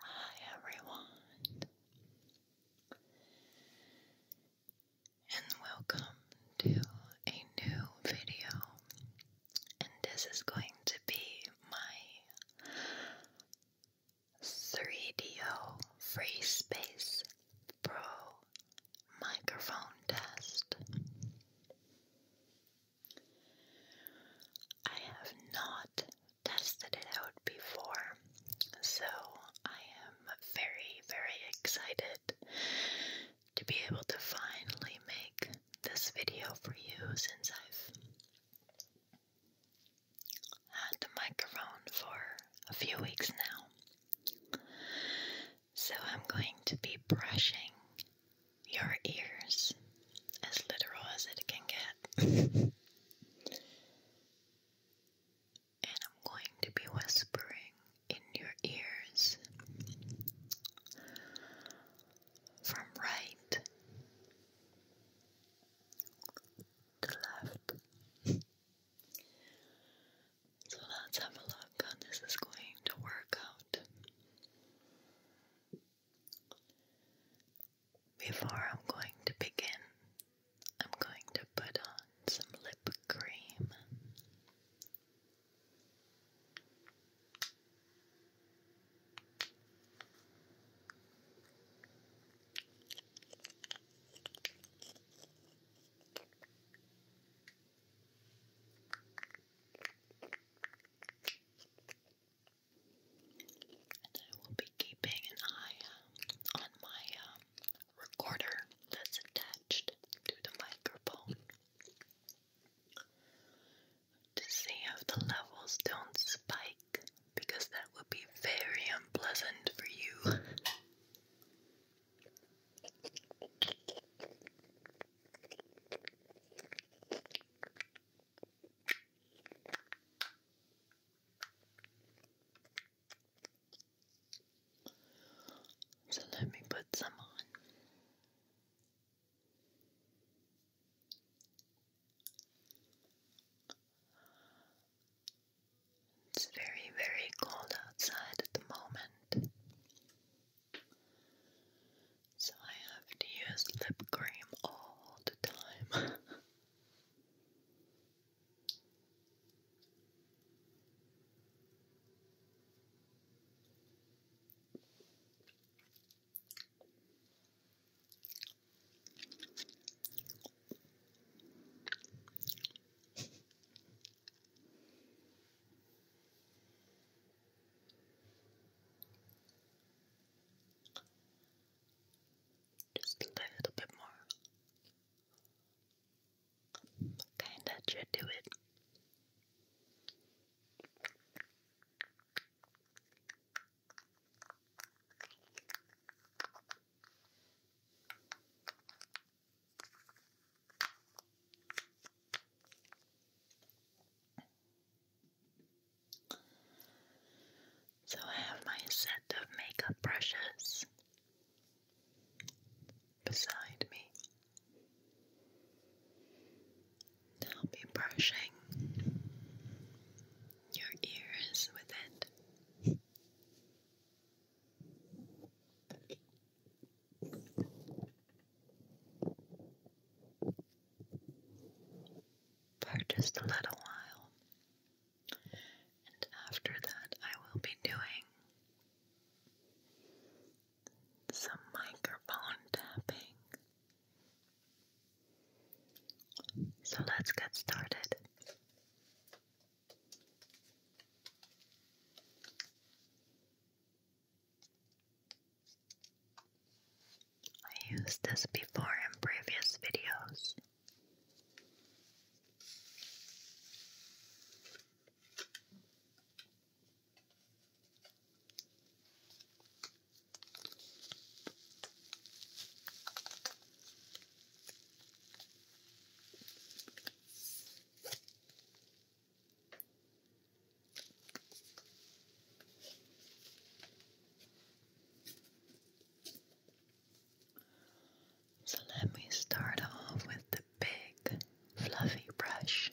Hi everyone, and welcome to a new video. And this is going to be my 3DO Free Space Pro microphone test. I have not tested it out before, so I am very, very excited to be able to finally make this video for you since I've had the microphone for a few weeks now. So I'm going to be brushing your ears, as literal as it can get. and I'm going to be whispering in your ears from right to left. So let's have a look how this is going to work out. Before I'm going to begin, I'm going to put on some lip cream. I will be keeping an eye um, on my um, recorder that's attached to the microphone to see if the levels don't spike because that would be very unpleasant for you. So let me put some on. It's very, very cold outside at the moment. So I have to use lip cream all the time. Just a little bit more. Kinda should do it. So I have my set of makeup brushes beside me. I'll be brushing your ears with it for just a little while. And after that, I will be doing some microphone tapping. So let's get started. I used this before in previous videos. So let me start off with the big fluffy brush.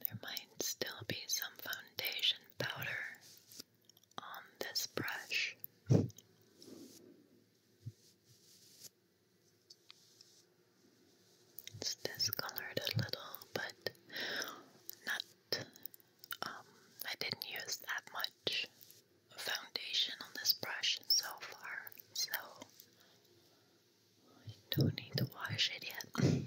There might still be some foundation powder on this brush. It's discolored a little, but not. Um, I didn't use that much foundation on this brush so far, so I don't need to wash it yet.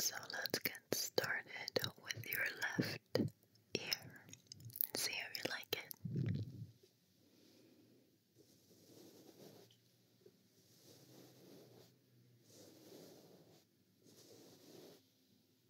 So let's get started with your left ear and see how you like it.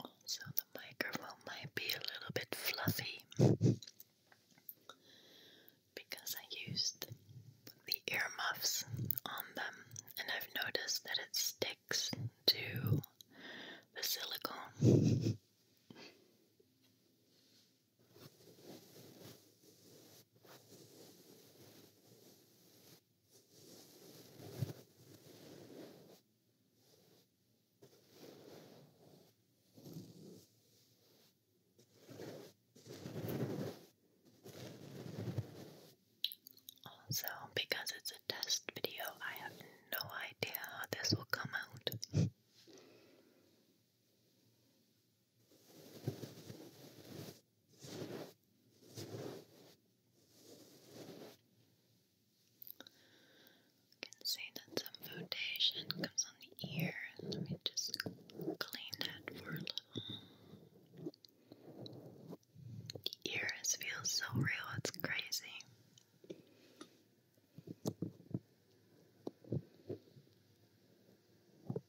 Also, the microphone might be a little bit fluffy because I used the earmuffs on them, and I've noticed that it sticks to the silicone. Also, because it's a test video, I have no idea how this will come out. can see that some foundation comes on the ear. Let me just clean that for a little. The ear is, so real, it's crazy.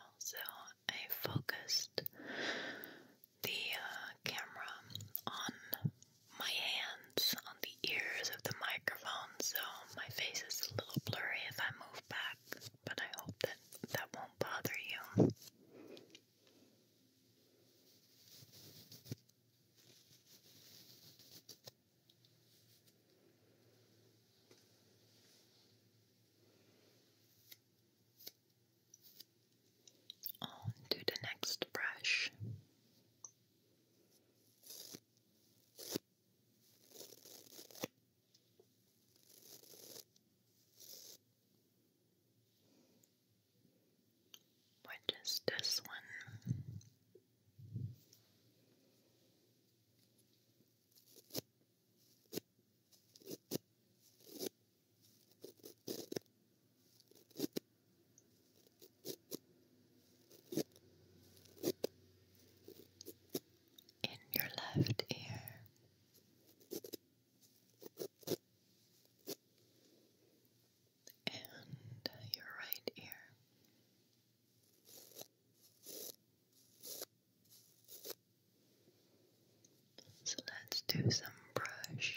Also, I focused the uh, camera on my hands, on the ears of the microphone, so my face is a little blurry if I move back, but I hope that that won't bother you. On to the next brush. Which is this one? In your left ear and your right ear. So let's do some brushing.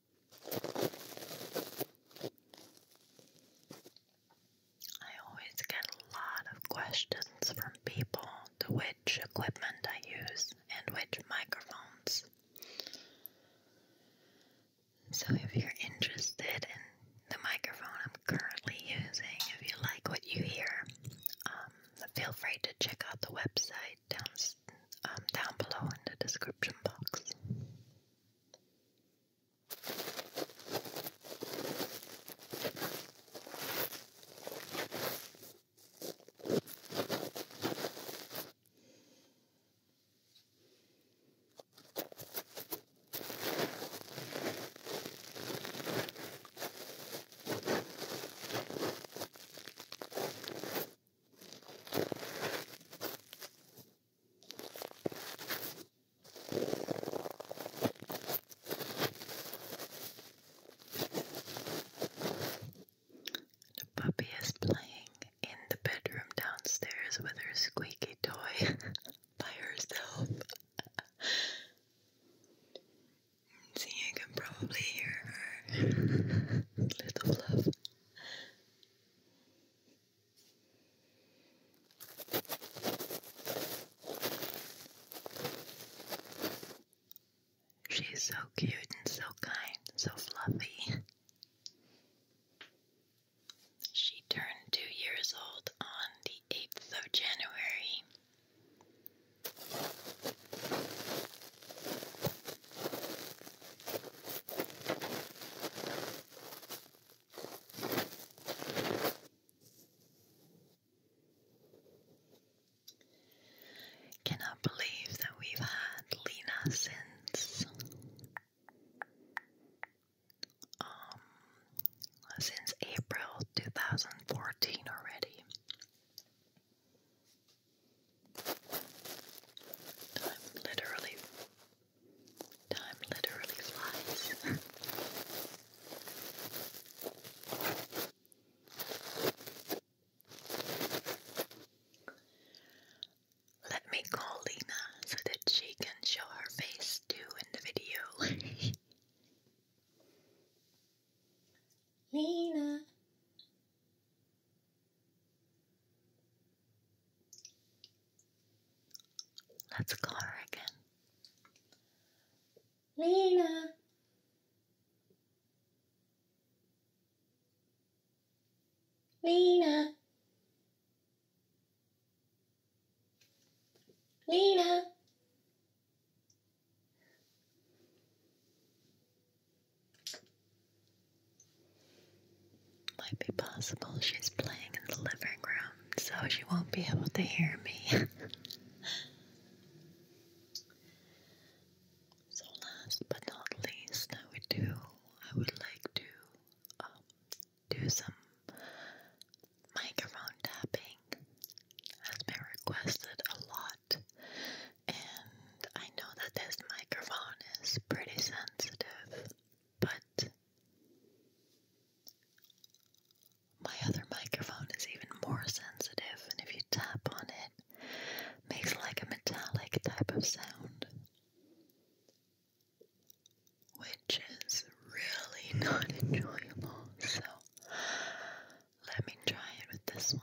I always get a lot of questions from people to which equipment I use and which microphones. So, if you're interested in the microphone I'm currently using, if you like what you hear, um, feel free to check out the website down, um, down below in the description box. The puppy is playing in the bedroom downstairs with her squeaky toy by herself. See, you can probably hear her little love. She's so cute and so kind, so fluffy. She turned two years old on the 8th of January. Cannot believe that we've had Lena since um since April 2014 already. Time literally, time literally flies. Let me call Lena so that she can show her face too in the video. Lena, Let's call her again. Lena. Lena. Lena. Might be possible she's playing in the living room, so she won't be able to hear me. so, last but not least, I would do, I would like to um, do some microphone tapping. Has been requested a lot and I know that this microphone is pretty sensitive, but my other microphone is even more sensitive, and if you tap on it, it makes like a metallic type of sound. Which is really not enjoyable, so let me try it with this one.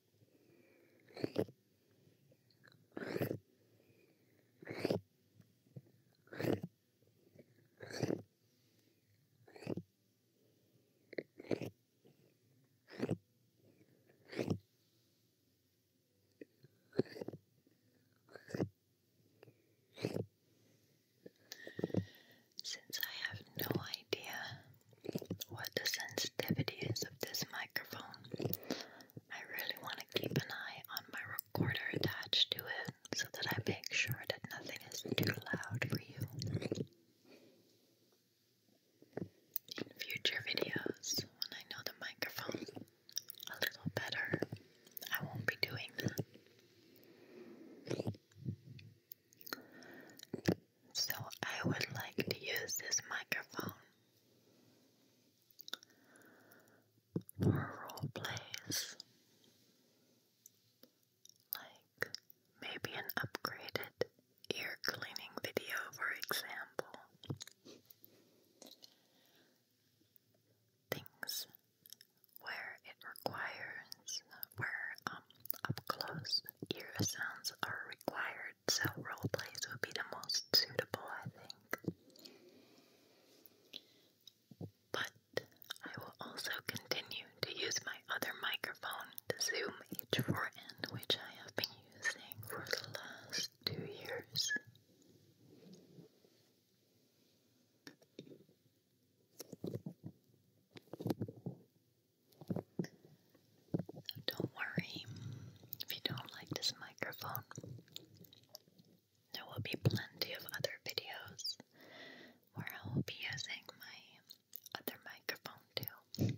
Since I have no idea what the sensitivity is of this microphone, I really want to keep an eye on my recorder attached to it so that I make sure that nothing is too loud for you. In future videos, when I know the microphone a little better, I won't be doing that. So, I would like to use this microphone or role plays, like maybe an upgraded ear cleaning video, for example. Things where it requires, where um, up close ear sounds are required. So role plays would be the most suitable, I think. But I will also continue to use my other microphone, the Zoom H4n, which I have been using for the last two years. Don't worry if you don't like this microphone. There will be plenty of other videos where I will be using my other microphone too.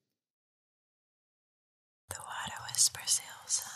The water whispers Ilsa.